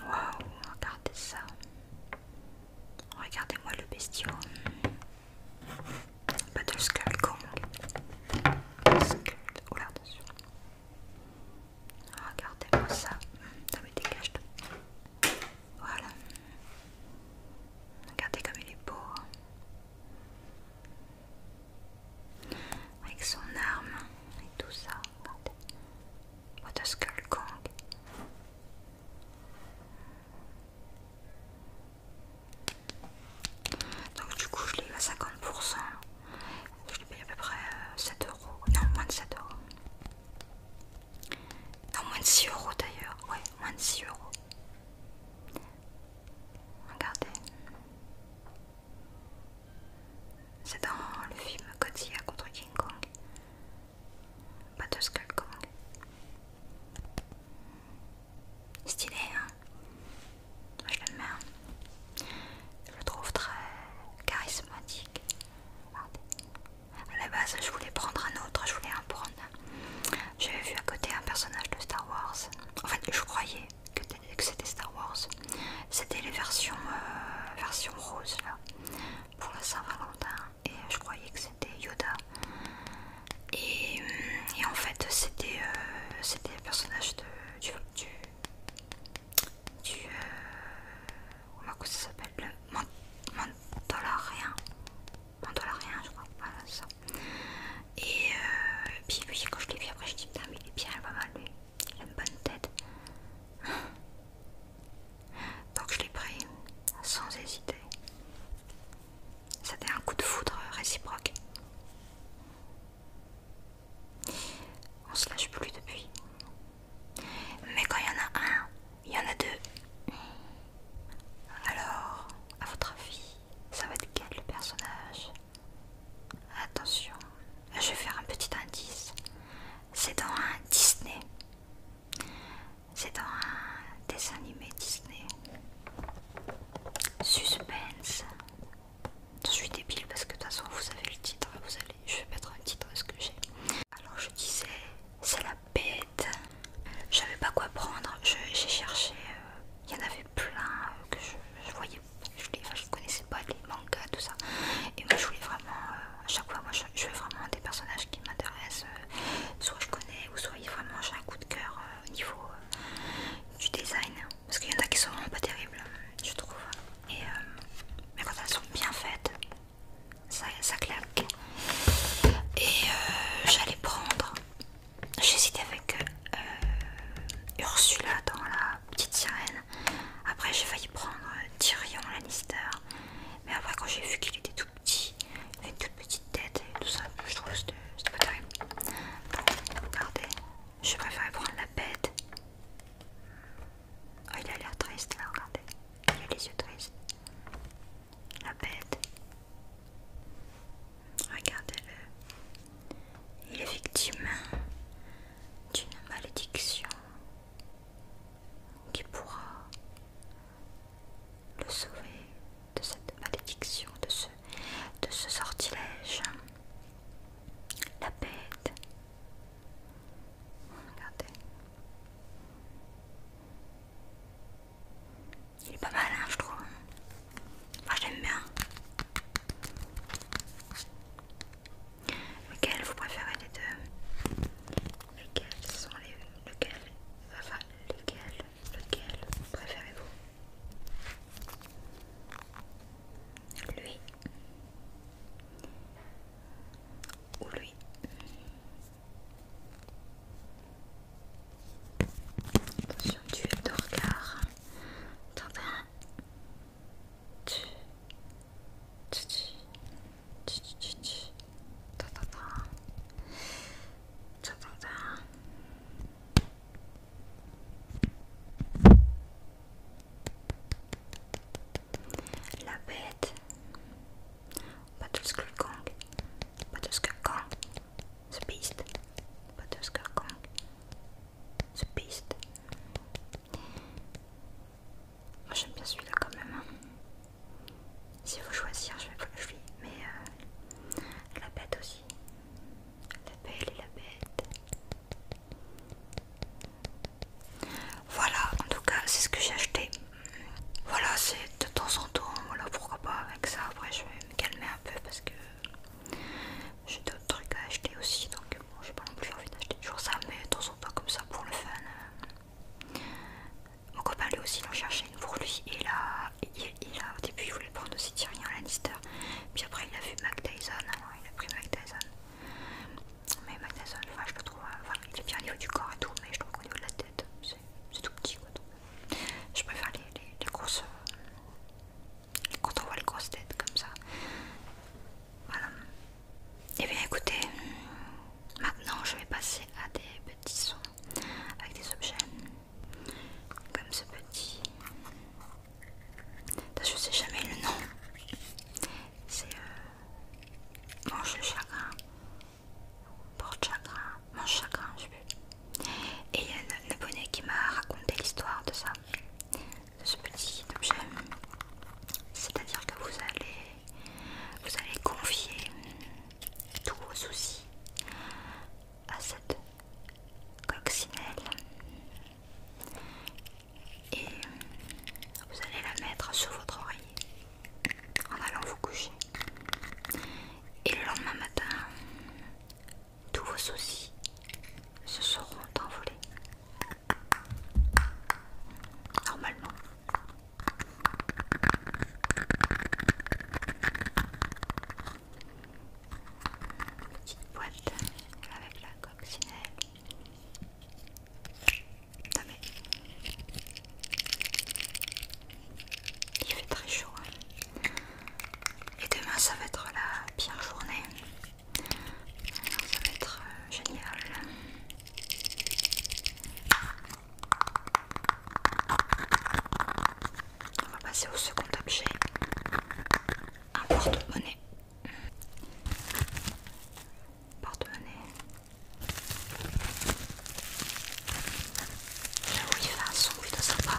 Wow, regardez ça. Regardez-moi le bestiaux Battle Skull Kong. Skull. là, attention. Regardez-moi ça. Ça me dégage voilà. Regardez comme il est beau. Hein. Avec son arme et tout ça. What a skull Donc du coup je l'ai eu à 50%. Je l'ai payé à peu près 7 euh, euros. Non, moins de 7 euros. Non, ah, moins de 6 euros d'ailleurs. Ouais, moins de 6 euros. Regardez. C'est dans le film Godzilla contre King Kong. Battle de Skull Kong. Stylé, hein Moi je l'aime bien. Hein. Je le trouve très charismatique. À la base, je voulais prendre un autre, je voulais en prendre. J'avais vu à côté un personnage de Star Wars. En fait, je croyais que, c'était Star Wars. C'était les versions, euh, versions roses là, pour la Saint-Valentin. Et je croyais que c'était Yoda. Et, en fait, euh, c'était le personnage de, du, du euh, comment ça s'appelle le mandolarien mandolarien je crois voilà ça et, euh, puis quand je l'ai vu après je dis putain mais il est bien elle va pas mal lui il a une bonne tête donc je l'ai pris sans hésiter c'était un coup de foudre réciproque on se lâche plus depuis. Mais quand il y en a un, il y en a deux. Alors, à votre avis, ça va être quel le personnage Attention, je vais faire un petit indice. C'est dans un Disney. C'est dans un dessin animé Disney. Suspense. Je suis débile parce que de toute façon vous avez le titre, vous allez, je vais mettre un titre à ce que j'ai. Alors je disais, c'est la bête. Je pas quoi prendre, j'ai cherché, euh, il y en avait plein euh, que je, voyais, je connaissais pas, les mangas, tout ça. Et moi je voulais vraiment, euh, à chaque fois, moi je, veux vraiment des personnages qui m'intéressent, soit je connais ou soit vraiment j'ai un coup de cœur au niveau du design. Parce qu'il y en a qui sont vraiment pas terribles, je trouve. Et, euh, mais quand elles sont bien faites, ça, claque. Et euh, j'allais prendre. j'ai J'hésitais avec euh, Ursula dans la petite sirène. Après, j'ai failli prendre Tyrion Lannister. Mais après, quand j'ai vu qu'il était tout petit, avec une toute petite tête et tout ça, je trouve que c'était pas terrible. Bon, regardez, je préfère prendre la bête. Oh, il a l'air triste là, regardez. Il a les yeux tristes. La bête. Regardez-le. Il est victime d'une malédiction qui pourra le sauver de cette malédiction, de ce de ce sortilège. La bête. Regardez. Il est pas mal, hein, je trouve. Moi, j'aime bien. Lequel vous préférez les deux lesquels sont les... Lequel... Enfin, lesquels Lequel préférez-vous Lui ou lui Attention, es de regard. Tintin. La bête. Battleskull Kong. Battleskull Kong. The Beast. Battleskull Kong. The Beast. Moi j'aime bien celui-là quand même. Hein. Si vous choisissez, je vais. Je vais mais euh, la bête aussi. La belle et la bête. Voilà, en tout cas, c'est ce que j'ai acheté. Voilà, c'est de temps en temps. Voilà, pourquoi pas avec ça. Après, je vais me calmer un peu parce que j'ai d'autres trucs à acheter aussi. Donc, bon, j'ai pas non plus envie d'acheter toujours ça, mais de temps en temps, comme ça, pour le fun. Euh, mon copain lui aussi l'a cherché pour lui et là, il, a, au début il voulait prendre aussi Tyrion Lannister. Puis après il a vu Mac hein, il a pris Mac Mais Mac Dyson, enfin, je le trouve, euh, enfin, il est bien au niveau du corps et tout, mais je trouve qu'au niveau de la tête, c'est tout petit quoi. je préfère les, les grosses. Euh, quand on voit les grosses têtes comme ça. Voilà. Et eh bien écoutez, maintenant je vais passer à des petits sons avec des objets comme ce petit. Je sais jamais le nom. C'est euh, mange le chagrin, porte chagrin, mange chagrin, je sais plus. Et il y a un abonné qui m'a raconté l'histoire de ça, de ce petit objet. C'est-à-dire que vous allez, vous allez confier tous vos soucis à cette coccinelle et vous allez la mettre sur votre oreiller en allant vous coucher et le lendemain matin tous vos soucis se seront envolés normalement Petite boîte avec la coccinelle. Il fait très chaud. Hein. Et demain ça va être la pire journée. ça va être euh, génial. On va passer au second objet, un porte-monnaie. Porte-monnaie. J'avoue, il fait un son sa sympa.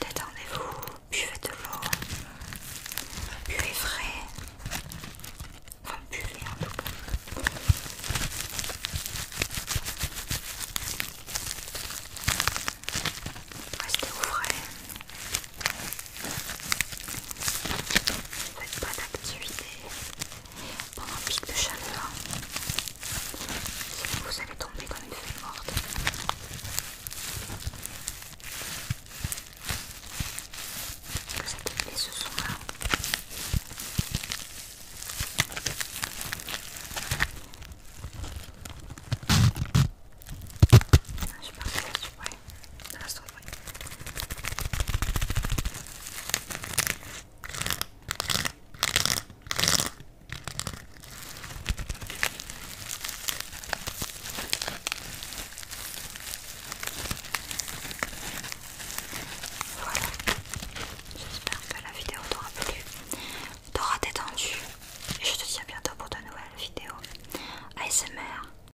Détendez-vous, buvez de l'eau, buvez frais, enfin buvez en tout cas. Restez au frais. Faites pas d'activité pendant un pic de chaleur, sinon vous allez tomber comme une feuille morte. Vous allez tomber ce son-là Ouais, Voilà, j'espère que la vidéo t'aura plu, t'aura détendu et je te dis à bientôt pour de nouvelles vidéos ASMR